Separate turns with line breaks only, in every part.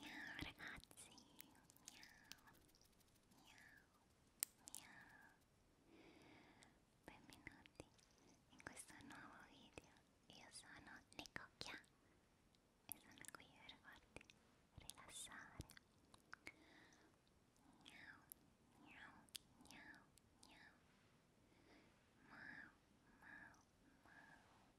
Miau ragazzi, miau, miau, miau Benvenuti in questo nuovo video Io sono Nicocchia e sono qui per farti rilassare Miau, miau, miau, miau Mau, mau, mau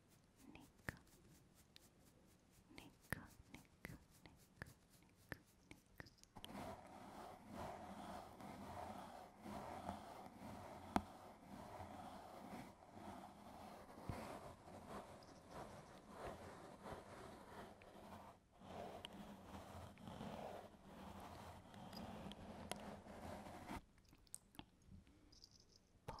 Nick, Nick, Nick, Nick, Nick, Nick. Pull, pull,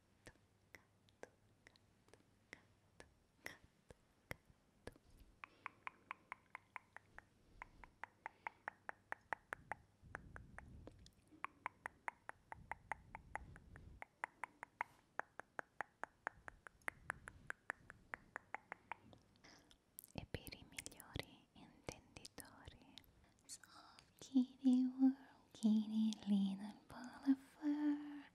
gatto, gatto, gatto, gatto, gatto, gatto. E per i migliori intenditori, soft kitty world, kitty little ball of fur,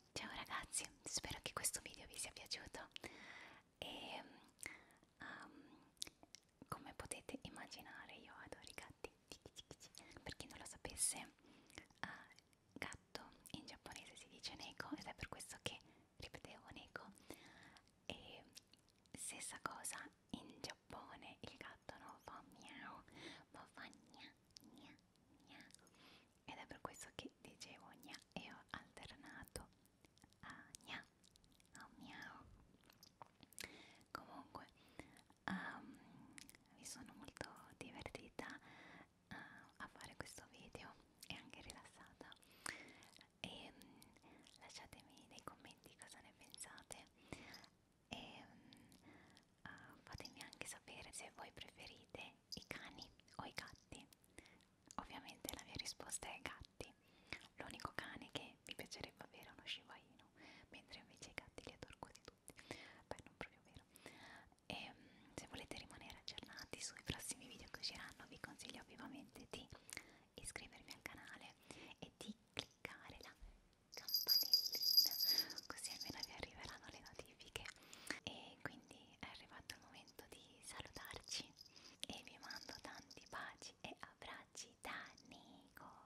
Ciao ragazzi, spero che questo video vi sia piaciuto e um, come potete immaginare io adoro i gatti, per chi non lo sapesse uh, gatto in giapponese si dice neko ed è per questo che ripetevo neko e stessa cosa in Giappone il gatto non fa miau ma fa gna gna gna ed è per questo che dicevo gna e ho alternato a gna a miau comunque um, mi sono molto divertita uh, a fare questo video e anche rilassata e um, lasciatemi nei commenti cosa ne pensate e um, uh, eh, fatemi anche sapere se voi preferite è i cani o i gatti? Ovviamente la mia risposta è gatti. L'unico cane che mi piacerebbe avere è uno Shiba Inu, mentre invece i gatti li adoro quasi tutti. Beh, non proprio vero. E ehm, se volete rimanere aggiornati sui prossimi video che usciranno, vi consiglio vivamente di iscrivervi al canale e di cliccare la campanellina, così almeno vi arriveranno le notifiche. E quindi quindi è arrivato il momento di salutarci e vi mando tanti baci e abbracci da Nico.